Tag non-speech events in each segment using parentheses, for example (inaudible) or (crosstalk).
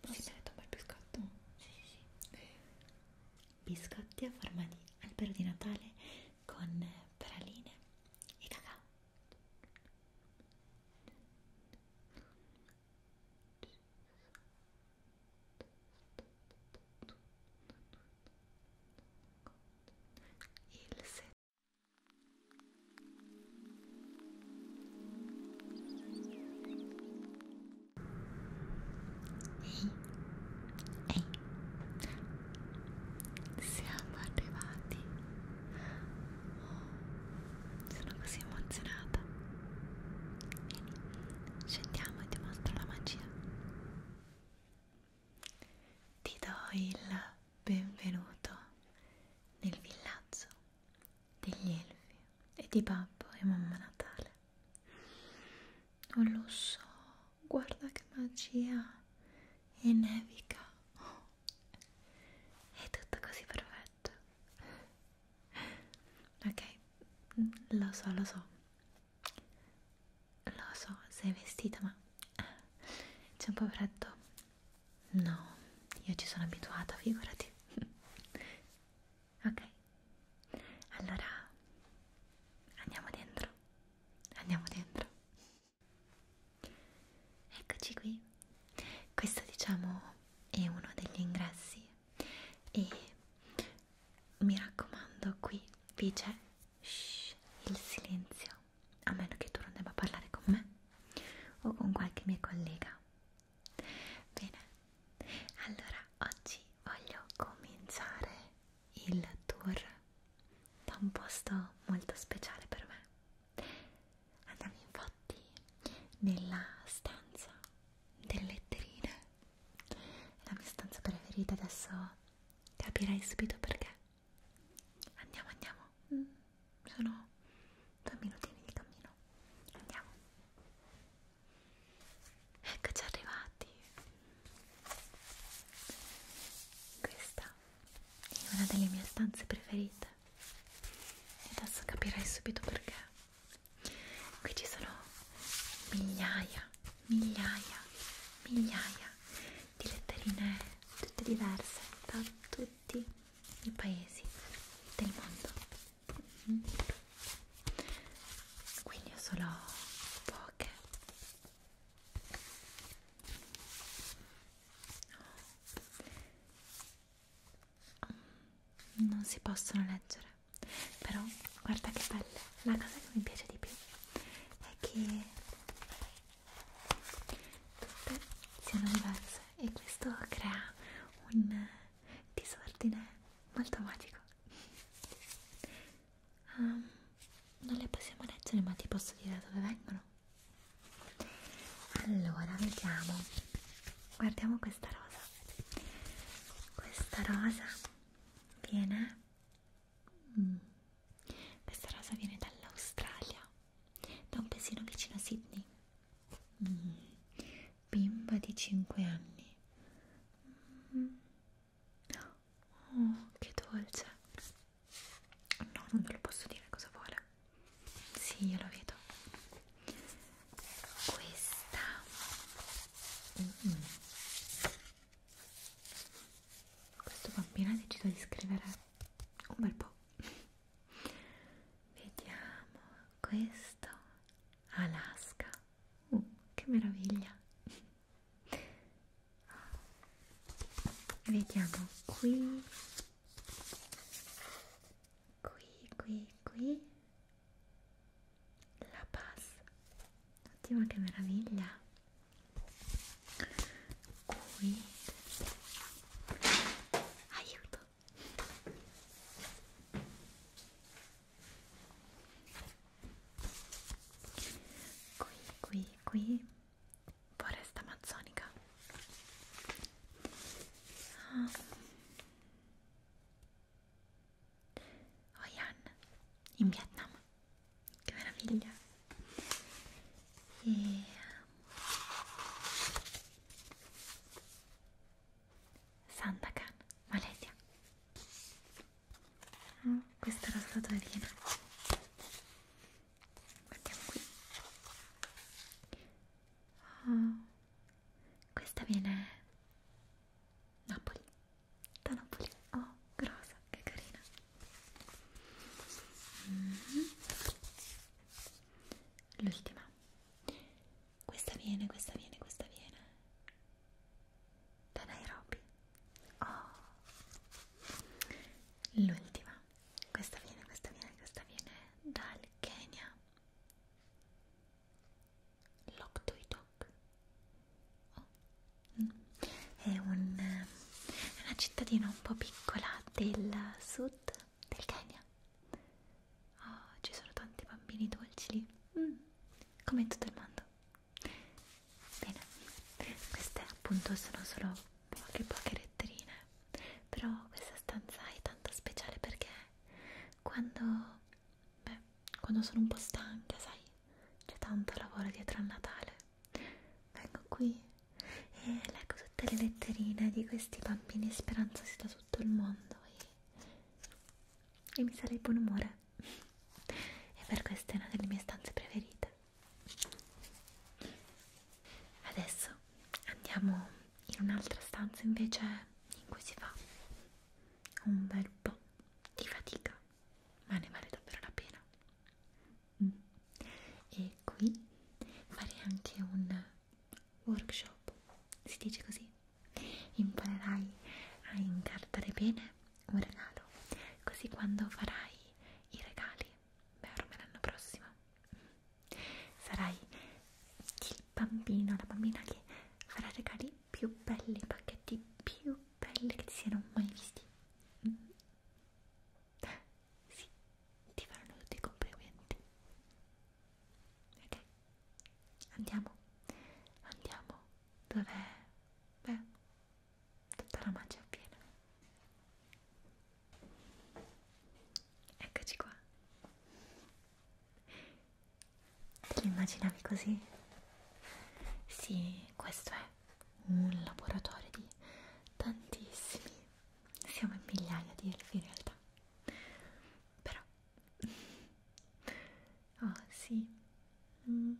Posso? Sì, merita un bel biscotto. Mm. Sì, sì, sì. Eh. Biscotti a forma di albero di Natale con praline e cacao. Il set Ehi, ehi, siamo arrivati. Oh, sono così emozionata. Vieni, scendiamo e ti mostro la magia. Ti do il benvenuto nel villaggio degli elfi e di babbo e mamma Natale. Non lo so, guarda che magia! E nevica. Oh. È tutto così perfetto. Ok, lo so, lo so. Lo so, sei vestita, ma c'è un po' freddo. No, io ci sono abituata, figurati. (laughs) ok, allora andiamo dentro, andiamo dentro. Eccoci qui. Questo diciamo è uno degli ingressi e mi raccomando qui vi c'è il silenzio, a meno che tu non debba parlare con me o con qualche mia collega, Bene, allora oggi voglio cominciare il tour da un posto molto speciale per me. Andiamo infatti nella stanza delle letterine. La mia stanza preferita adesso capirai subito perché. Andiamo, andiamo. Mm sono due minutini di cammino andiamo eccoci arrivati questa è una delle mie stanze preferite e adesso capirai subito perché qui ci sono migliaia migliaia migliaia di letterine tutte diverse da tutte tutti i paesi del mondo mm-hmm. quindi ho solo poche mm, non si possono leggere però guarda che belle la cosa che mi piace di più è che tutte siano diverse e questo crea un disordine molto magico um, non le possiamo leggere ma ti posso dire da dove vengono allora vediamo guardiamo questa rosa questa rosa viene mm, questa rosa viene dall'Australia da un paesino vicino a Sydney Mm. Bimba di 5 anni. Mm. Oh, che dolce. No, non ve lo posso dire cosa vuole. Sì, io lo vedo. Questa. Mm. Questo bambino ha deciso di scrivere un bel po'. Vediamo questo Alaska. Uh, che meraviglia! Vediamo qui. Qui, qui, qui. La Paz. Oddio, che meraviglia. Qui. Aiuto qui qui qui foresta amazzonica ah. Ho Yan in Vietnam che meraviglia e Sandakan, Malesia. Oh, mm, questa è la statuerina. Guardiamo qui. Oh, questa viene Napoli. Da Napoli. Oh, grossa, che carina. Mm -hmm. L'ultima questa viene, questa viene, questa viene. Da Nairobi. Oh. L'ultima. Questa viene, questa viene, questa viene dal Kenya. Loptoitok. Oh. Mm. È, un, è eh, una cittadina un po' piccola del sud del Kenya. Oh, ci sono tanti bambini dolci lì, mm, come in tutto il mondo. Bene, queste appunto sono solo poche poche letterine, però questa stanza è tanto speciale perché quando, beh, quando sono un po' stanca, sai, c'è tanto lavoro dietro al Natale, vengo qui e leggo tutte le letterine di questi bambini speranzosi da tutto il mondo e, e mi sale il buon umore e per questo è una delle mie stanze preferite adesso andiamo in un'altra stanza invece in cui si fa un bel po' di fatica ma ne vale davvero la pena mm. e qui farei anche un workshop, si dice così, imparerai a incartare bene un regalo, così quando farai i regali, beh ormai l'anno prossimo, sarai il bambino, la bambina che farà i regali più belli, i pacchetti più belli che ti siano mai visti. Mm. Sì, ti faranno tutti i complimenti. Ok, andiamo, andiamo. Dov'è? Beh, tutta la magia piena. Eccoci qua. Te l'immaginavi così? Sì, questo è un laboratorio di tantissimi siamo in migliaia di elfi in realtà però (laughs) oh sì mm.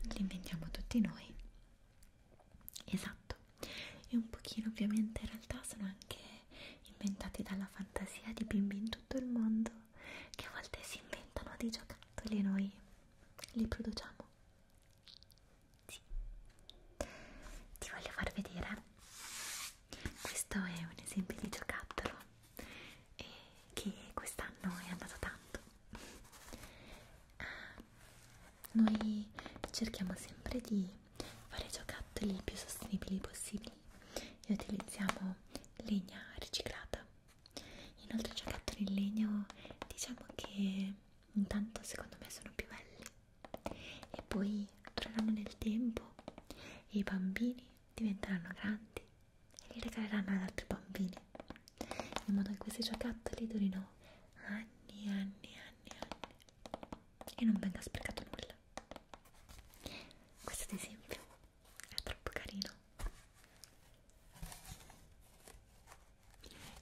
li inventiamo tutti noi esatto e un pochino ovviamente in realtà sono anche inventati dalla fantasia di bimbi in tutto il mondo che a volte si inventano dei giocattoli e noi li produciamo sì. Ti voglio far vedere. Questo è un esempio di giocattolo eh, che quest'anno è andato tanto. Ah, noi cerchiamo sempre di fare giocattoli più sostenibili possibili e utilizziamo legna riciclata. Inoltre i giocattoli in legno diciamo che intanto secondo me sono più belli e poi dureranno nel tempo e i bambini diventeranno grandi e li regaleranno ad altri bambini in modo che questi giocattoli durino anni, anni, anni, anni e non venga sprecato nulla questo ad esempio è troppo carino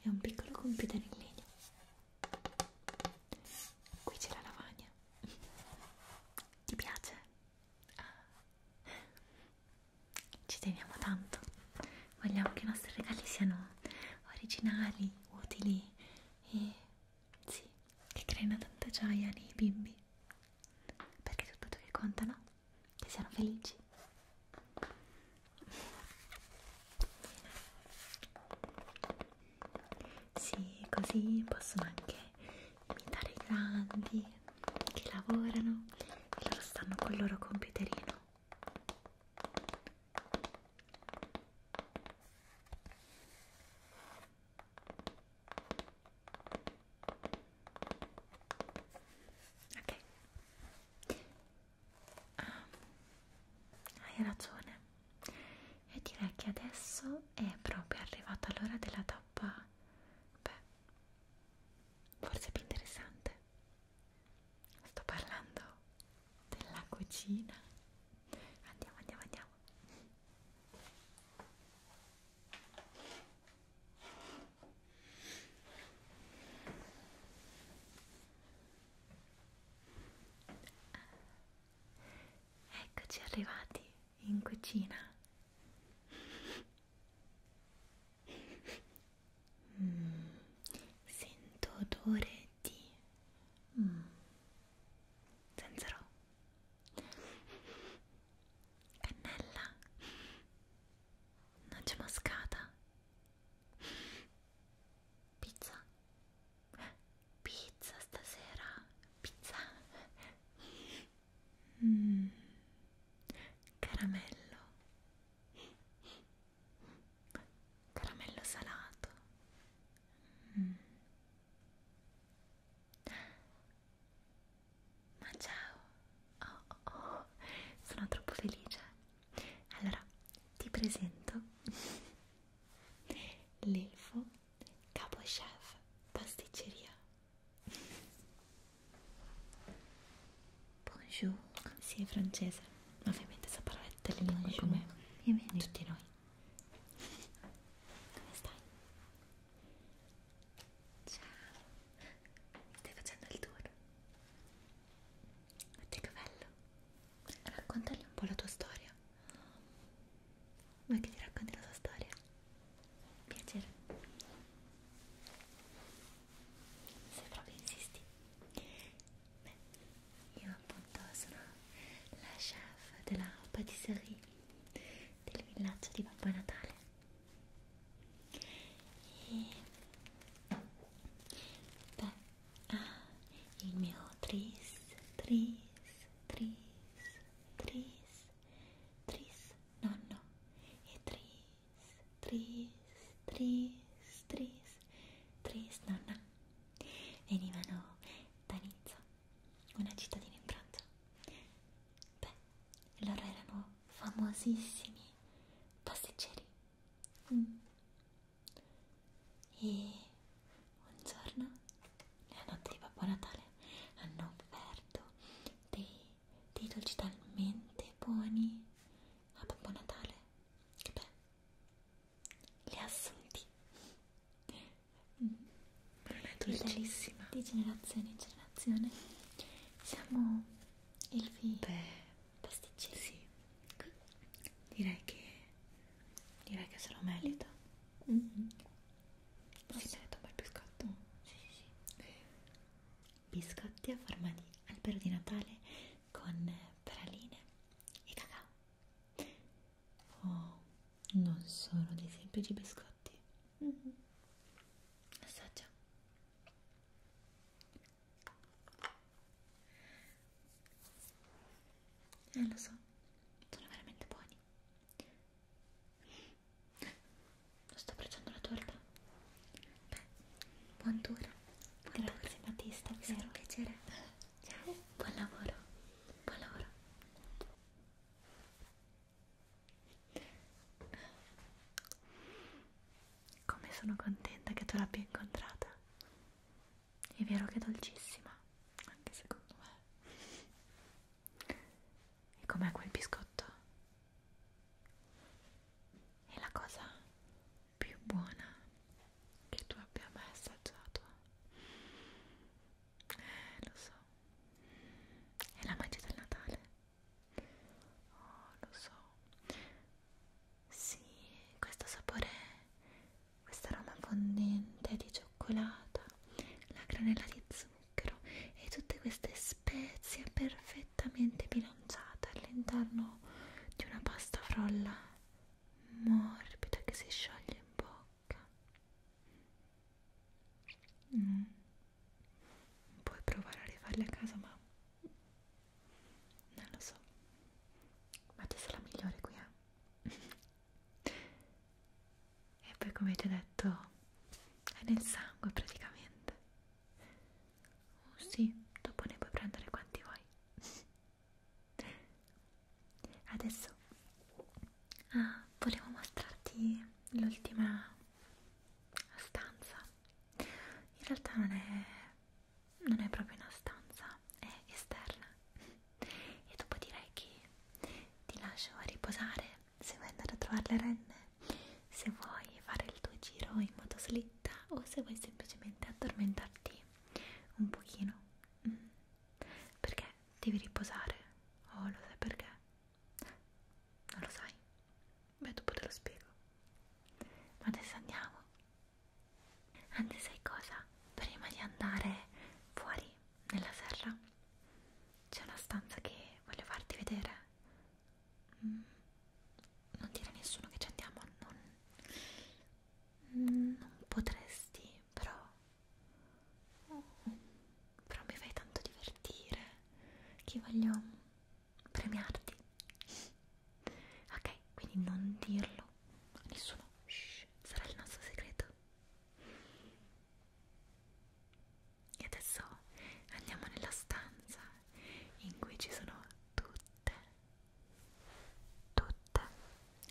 è un piccolo computer in legno Qui c'è la lavagna. Ti piace? Ah. Ci teniamo tanto. Vogliamo che i nostri regali siano originali, utili e sì, che creino tanta gioia nei bimbi. Perché è tutto che conta, no? Che siano felici. Sì, così possono anche imitare i grandi che lavorano e loro stanno col loro computerino. Ok, Ah, hai ragione. E direi che adesso è proprio arrivata l'ora della tappa. Beh, forse più interessante. Sto parlando della cucina. Andiamo, andiamo, andiamo. Eccoci arrivati in cucina. Mm, sento odore di mm, zenzero, cannella, noce moscata, pizza. Pizza stasera? Pizza? Mm. Caramello? Caramello salato? Mm. Ma ciao! Oh, oh, oh. Sono troppo felice! Allora, ti presento l'elfo capo chef pasticceria bonjour si sì, è francese ovviamente sa parlare tutte le lingue come Bienvenue. tutti noi come stai? ciao stai facendo il tour? Oddio che bello raccontagli un po' la tua storia. Vuoi che ti racconti la tua storia? Piacere. Se proprio insisti. Beh, io appunto sono la chef della patisserie del villaggio di Babbo Natale. E beh, Ah, il mio tris, tris, tris, tris, tris nonno e tris, tris, tris, tris, tris nonna venivano da Nizza, una cittadina in Francia. Beh, loro erano famosissimi pasticceri. Mm. E un giorno, nella notte di Babbo Natale, hanno offerto dei, dei dolci talmente buoni a Babbo Natale che beh, li ha assunti. Ma non è dolcissima. Di generazione in generazione siamo il figlio. Beh, pasticcini? Sì, qui. Direi che direi che se lo merita. Mm -hmm. Si merita un bel biscotto. Sì, sì, sì. Biscotti a forma di albero di Natale con praline e cacao. Oh, non sono dei semplici biscotti. Mm -hmm. Assaggia. Eh, lo so, sono veramente buoni. Non sto pregiando la torta. Beh, buon tour. Buon Grazie tour. Battista, mi sarà un piacere. Ciao. Buon lavoro. Buon lavoro. Come sono contenta che tu l'abbia incontrata. È vero che è dolcissima, anche secondo me. E com'è quel biscotto? È la cosa più buona che tu abbia mai assaggiato. Eh, lo so. È la magia del Natale. Oh, lo so. Sì, questo sapore, questo aroma fondente di cioccolata, la granella di zucchero e tutte queste spezie perfettamente bilanciate all'interno di una pasta frolla morbida che si scioglie in bocca. Mm. Puoi provare a rifarle a casa, ma non lo so ma te sei la migliore qui eh? (laughs) e poi come ti ho detto è nel sangue praticamente oh sì dopo ne puoi prendere quanti vuoi (laughs) adesso ah, volevo mostrarti l'ultima stanza in realtà non è non è proprio una stanza, è esterna e dopo direi che ti lascio a riposare se vuoi andare a trovare le renne se vuoi fare il tuo giro in motoslitta o se vuoi semplicemente addormentarti un pochino mm. perché devi riposare oh lo sai perché? non lo sai? beh dopo te lo spiego ma adesso andiamo Anzi, sai cosa? Prima di andare fuori nella serra c'è una stanza che voglio farti vedere. Mm. Non dire a nessuno che ci andiamo, non, mm, non potresti, però. Però mi fai tanto divertire che voglio premiarti ok quindi non dirlo a nessuno Shh, sarà il nostro segreto e adesso andiamo nella stanza in cui ci sono tutte tutte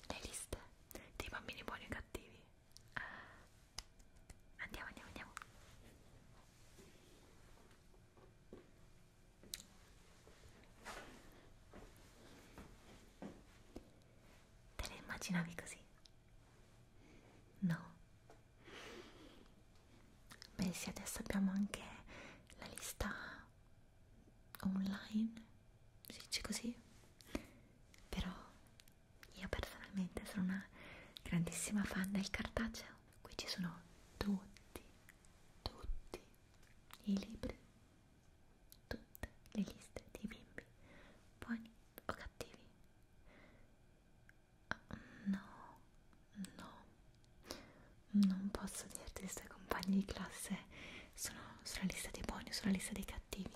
le liste dei bambini buoni e cattivi ah, andiamo andiamo andiamo Te le immaginavi così? No? Beh sì, adesso abbiamo anche la lista online, si dice così? Però io personalmente sono una grandissima fan del cartaceo, qui ci sono tutti, tutti i libri, tutte le liste di bimbi, buoni o cattivi. No, no, non posso dirti se i compagni di classe sono sulla lista dei buoni o sulla lista dei cattivi.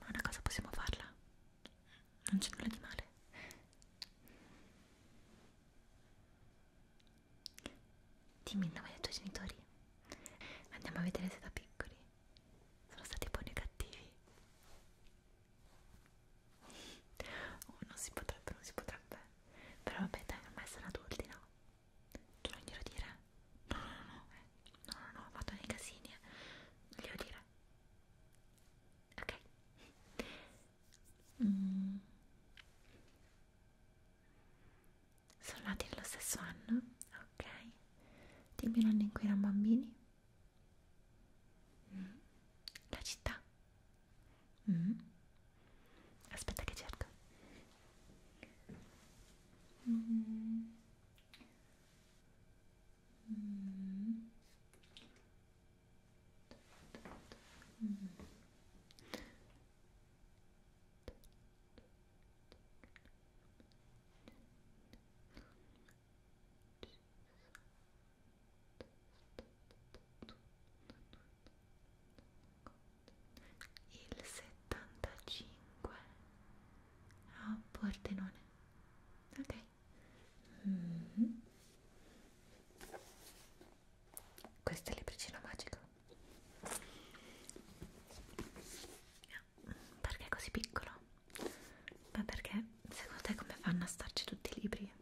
Ma una cosa possiamo farla, non c'è nulla di male. Dimmi il nome dei tuoi genitori. Andiamo a vedere se da piccoli sono stati buoni o cattivi. Oh, non si potrebbe, non si potrebbe. Però vabbè, dai, ormai sono adulti, no? Tu cioè, non glielo dire? No, no, no, eh. no, no, no, ho fatto dei casini, eh. Non glielo dire. Ok. Mm. Sono nati nello stesso anno? Ok. Dimmi l'anno in cui erano bambini. Mm. La città. Mm. Aspetta che cerco. Mm. Mm. Mm. Il settantacinque a oh, Pordenone. Ok. Mm -hmm. Questa è libricina magica. Perché è così piccolo? Ma perché secondo te come fanno a starci tutti i libri?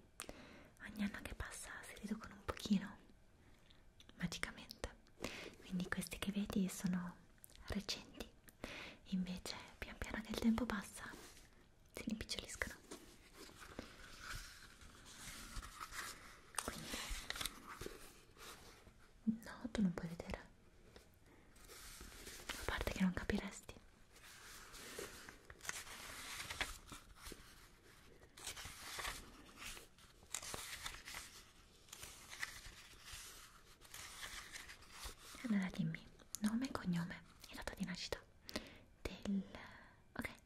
Ogni anno che passa si riducono un pochino magicamente. Quindi questi che vedi sono recenti. Invece pian piano che il tempo passa si rimpiccioliscono. Quindi, no, tu non puoi vedere. A parte che non capiresti. Allora dimmi nome e cognome e data di nascita del... ok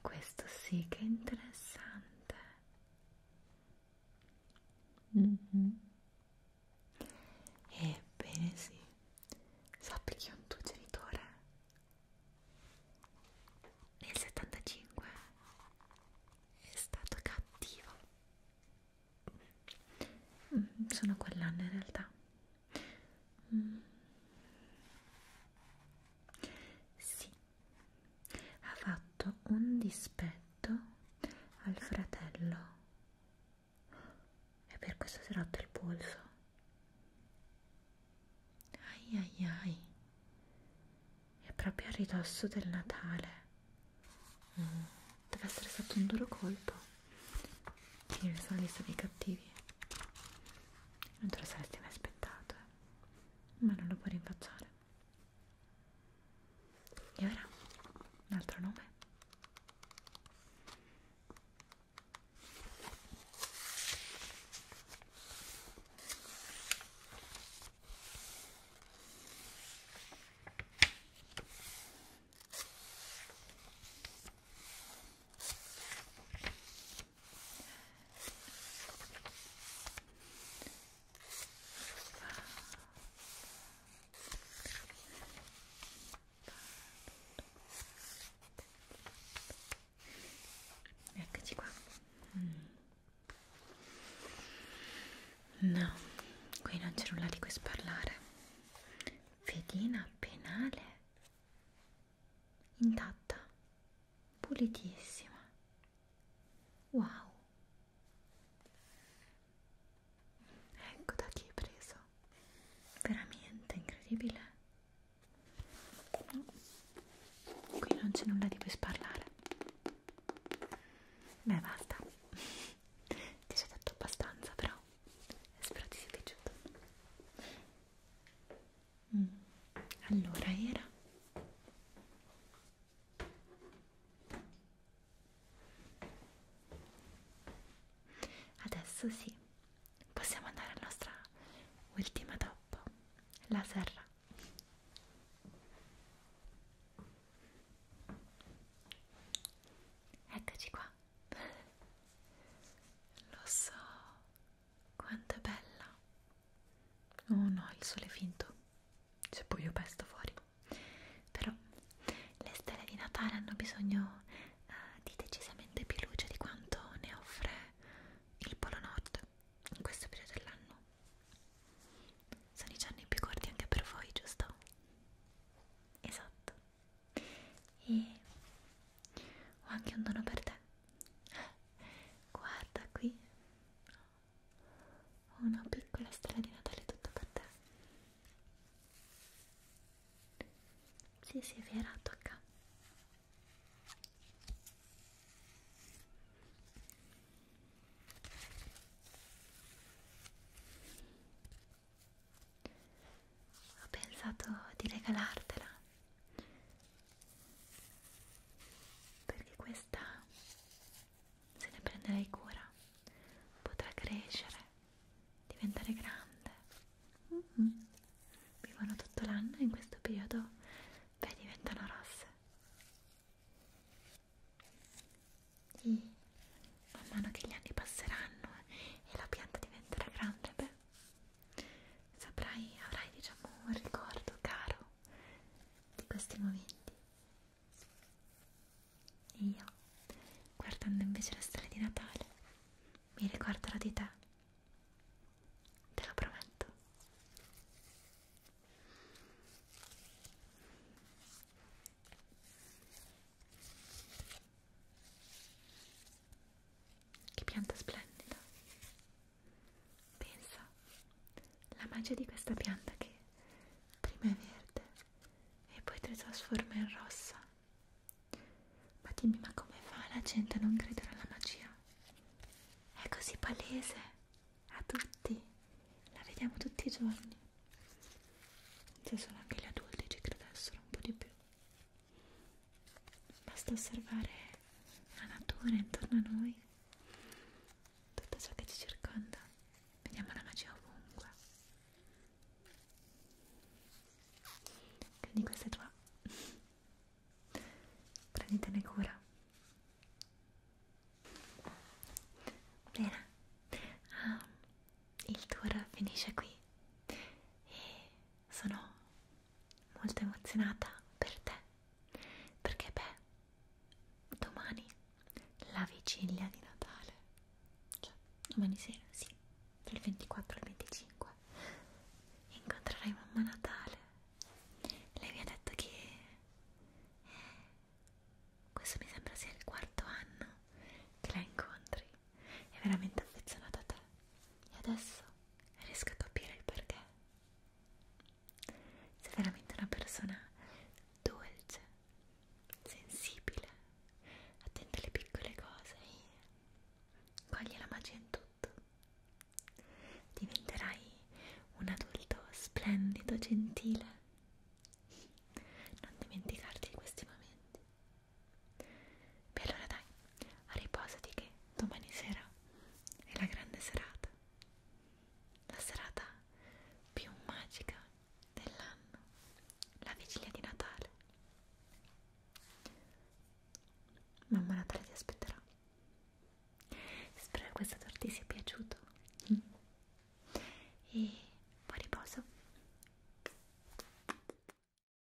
Questo sì che è interessante. Mm -hmm. Ebbene sì, sappi che un tuo genitore nel 75 è stato cattivo. Mm, sono quell'anno in realtà. Mm. Sì, ha fatto un dispetto al fratello e per questo si è rotto il polso. Ai ai ai, è proprio a ridosso del Natale. Mm. Deve essere stato un duro colpo. Finire sulla lista dei cattivi. Non te lo saresti mai aspettato, eh? ma non lo puoi rinfacciare. E ora? Un altro nome? Eccoci qua. No, qui non c'è nulla di cui sparlare. Fedina penale intatta, pulitissima. Wow! Ecco da chi è preso. Veramente incredibile. Qui non c'è nulla di cui sparlare. Beh, basta. (laughs) Ti ho detto abbastanza, però spero ti sia piaciuto. Mm. Allora era adesso sì, possiamo andare alla nostra ultima tappa, la serra. Eccoci qua. Lo so, quanto è bella! Oh no, il sole è finto, c'è buio pesto fuori. Però le stelle di Natale hanno bisogno eh, di decisamente più luce di quanto ne offre il Polo Nord in questo periodo dell'anno. Sono i giorni più corti anche per voi, giusto? Esatto. E ho anche un dono per te guarda qui ho una piccola stella di Natale tutta per te sì sì è vero tocca ho pensato di regalartela perché questa se ne prenderai cura potrà crescere diventare grande mm -hmm. vivono tutto l'anno e in questo periodo beh diventano rosse e man mano che gli anni passeranno eh, e la pianta diventerà grande beh saprai, avrai diciamo un ricordo caro di questi momenti. E io, guardando invece la storia di Natale, mi ricorderò di te. Te lo prometto. Che pianta splendida! Pensa la magia di questa pianta che prima è verde e poi ti trasforma in rossa. Ma dimmi, ma come fa la gente a non credere alla magia? È così palese a tutti, la vediamo tutti i giorni. Se solo anche gli adulti ci credessero un po' di più basta osservare la natura intorno a noi tutto ciò che ci circonda vediamo la magia ovunque quindi questa è tua prenditene cura bene ah, il tour finisce qui e sono molto emozionata per te perché beh domani la vigilia di Natale cioè domani sera sì dal 24 al 25 incontrerai mamma Natale lei mi ha detto che eh, questo mi sembra sia il quarto anno che la incontri è veramente affezionato a te e adesso riesco a capire il perché. Sei veramente una persona dolce, sensibile, attenta alle piccole cose e coglie la magia in tutto. Diventerai un adulto splendido, gentile. Non dimenticarti di questi momenti. Beh allora dai, riposati che domani sera è la grande serata, la serata più magica dell'anno, la vigilia di Natale. Mamma Natale ti aspetterà. Spero che questo tour ti sia piaciuto. Mm. E buon riposo.